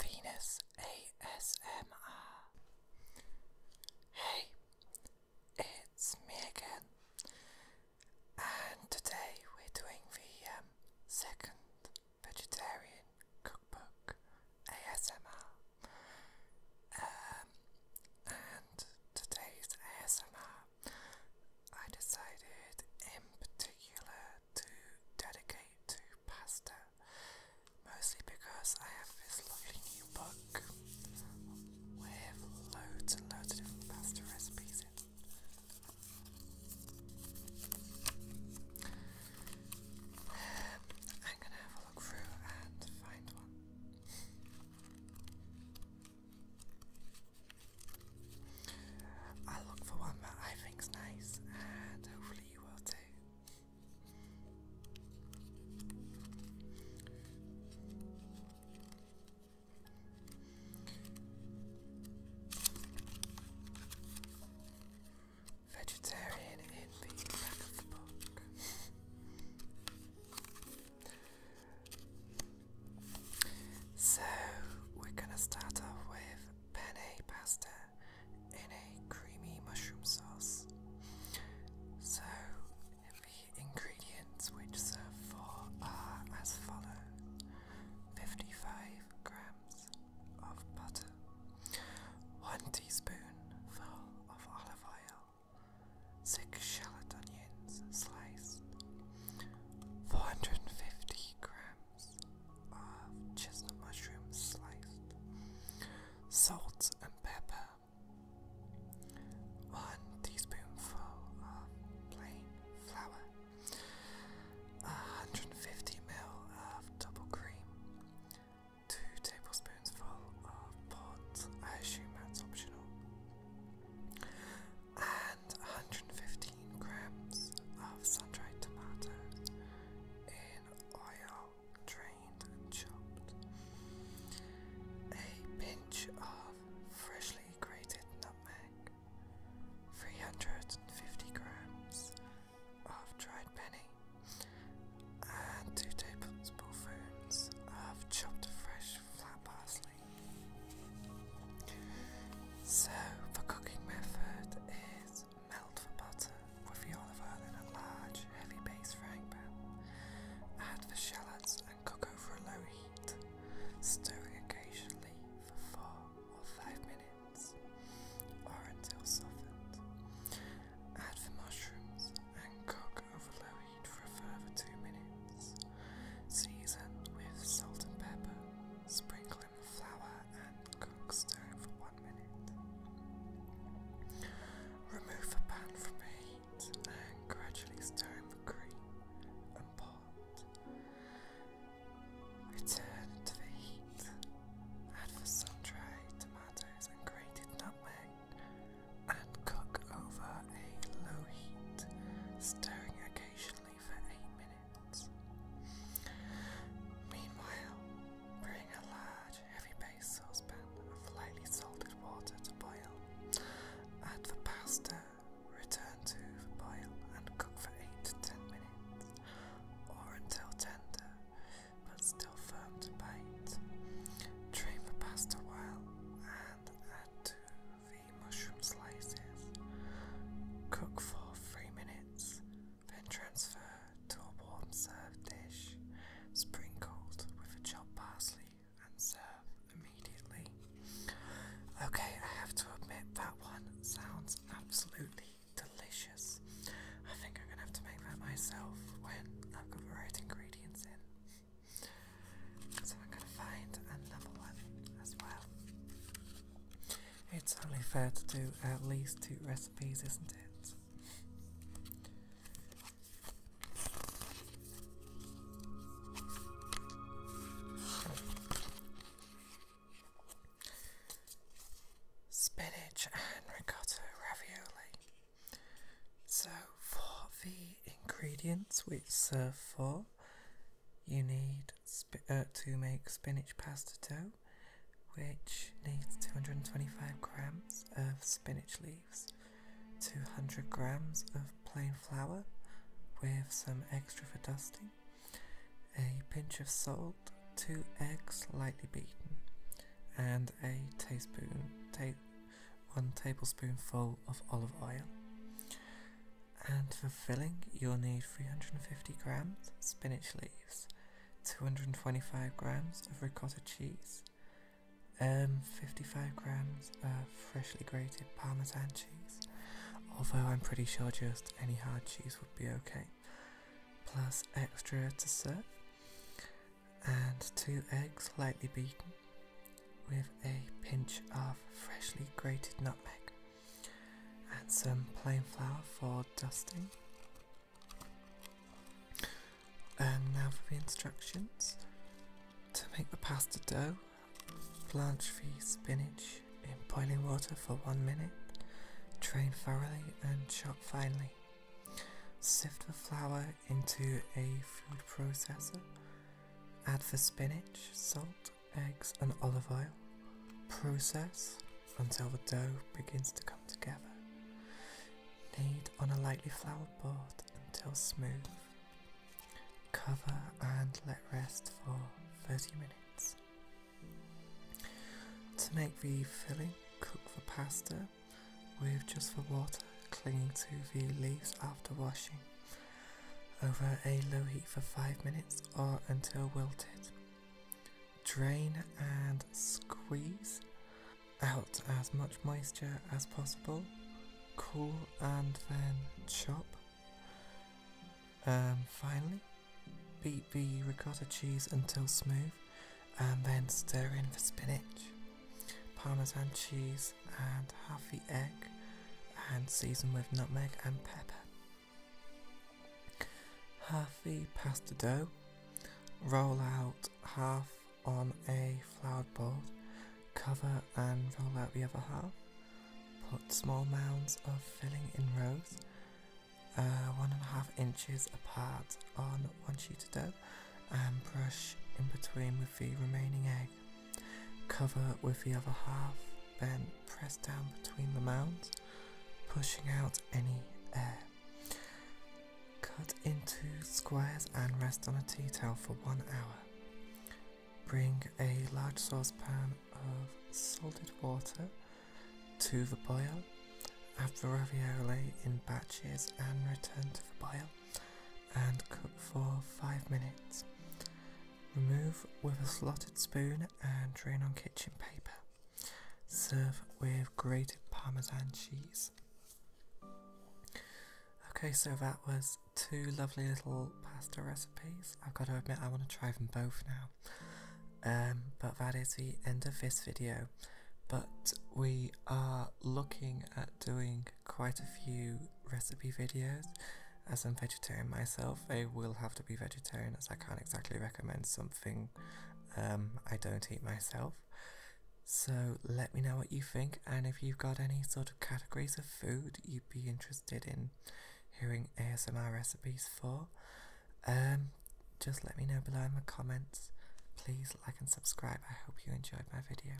Venus ASMR. Hey, it's me again, and today we're doing the um, second vegetarian cookbook ASMR. Um, and today's ASMR, I decided in particular to dedicate to pasta, mostly because I have this lovely new book with loads and loads of pasta recipes in. I'm gonna have a look through and find one. I'll look for one that I think's nice and hopefully Vegetarian in the back of the book. so we're gonna start off with penne pasta in a creamy mushroom sauce. So, the ingredients which serve for are as follows 55 grams of butter, 1 teaspoonful of olive oil, 6 shallot onions sliced, 450 grams of chestnut mushrooms sliced, salt and pepper, one teaspoonful of plain flour, 150 ml of double cream, two tablespoonsful of port, I assume that's optional, and 150 15 grams of sun-dried tomatoes in oil, drained and chopped. A pinch of freshly grated nutmeg. 350 grams of dried penny and 2 tablespoons of chopped fresh flat parsley. So, the cooking method is melt the butter with the olive oil in a large, heavy base frying pan. Add the shallots and cook over a low heat, stirring occasionally for four or five minutes or until softened. Add the mushrooms and cook over low heat for a further two minutes. Season with salt and pepper, sprinkle flour and cook stir for one minute. Remove the pan from heat and gradually stir in the cream and pot. Return to the heat. Add the sun-dried tomatoes and grated nutmeg and cook over a low heat, stirring occasionally Meanwhile, bring a large, heavy based saucepan of lightly salted water to boil. Add the pasta, return to the boil, and cook for 8 to 10 minutes, or until tender, but still firm to bite. Drain the pasta while, and add to the mushroom slices. Cook for 3 minutes then transfer to a warm served dish, sprinkled with chopped parsley, and serve immediately. Okay, I have to admit that one sounds absolutely delicious. I think I'm gonna have to make that myself when I've got the right ingredients in. So I'm gonna find another one as well. It's only fair to do at least two recipes, isn't it? Spinach and ricotta ravioli. So, for the ingredients which serve for, you need uh, to make spinach pasta dough, which needs 225 grams of spinach leaves, 200 grams of plain flour with some extra for dusting, a pinch of salt, two eggs lightly beaten, and a teaspoon, one tablespoonful of olive oil. And for filling, you'll need 350 grams spinach leaves, 225 grams of ricotta cheese, um, 55 grams of freshly grated parmesan cheese, although I'm pretty sure just any hard cheese would be okay, plus extra to serve, and two eggs lightly beaten with a pinch of freshly grated nutmeg. Add some plain flour for dusting. And now for the instructions. To make the pasta dough, blanch the spinach in boiling water for one minute, drain thoroughly and chop finely. Sift the flour into a food processor, add the spinach, salt, eggs, and olive oil. Process until the dough begins to come together. Knead on a lightly floured board until smooth. Cover and let rest for 30 minutes. To make the filling, cook the pasta with just the water clinging to the leaves after washing over a low heat for 5 minutes or until wilted. Drain and squeeze out as much moisture as possible. Cool and then chop. Um, finally, beat the ricotta cheese until smooth and then stir in the spinach, parmesan cheese and half the egg and season with nutmeg and pepper. Half the pasta dough, roll out half on a floured board, cover and roll out the other half. Put small mounds of filling in rows, uh, one and a half inches apart on one sheet of dough, and brush in between with the remaining egg. Cover with the other half, then press down between the mounds, pushing out any air. Cut into squares and rest on a tea towel for one hour. Bring a large saucepan of salted water to the boil. Add the ravioli in batches and return to the boil and cook for 5 minutes. Remove with a slotted spoon and drain on kitchen paper. Serve with grated parmesan cheese. Okay, so that was two lovely little pasta recipes. I've got to admit, I want to try them both now. Um, but that is the end of this video. But we are looking at doing quite a few recipe videos as I'm vegetarian myself, I will have to be vegetarian as I can't exactly recommend something um, I don't eat myself. So let me know what you think and if you've got any sort of categories of food you'd be interested in hearing ASMR recipes for, um, just let me know below in the comments. Please like and subscribe. I hope you enjoyed my video.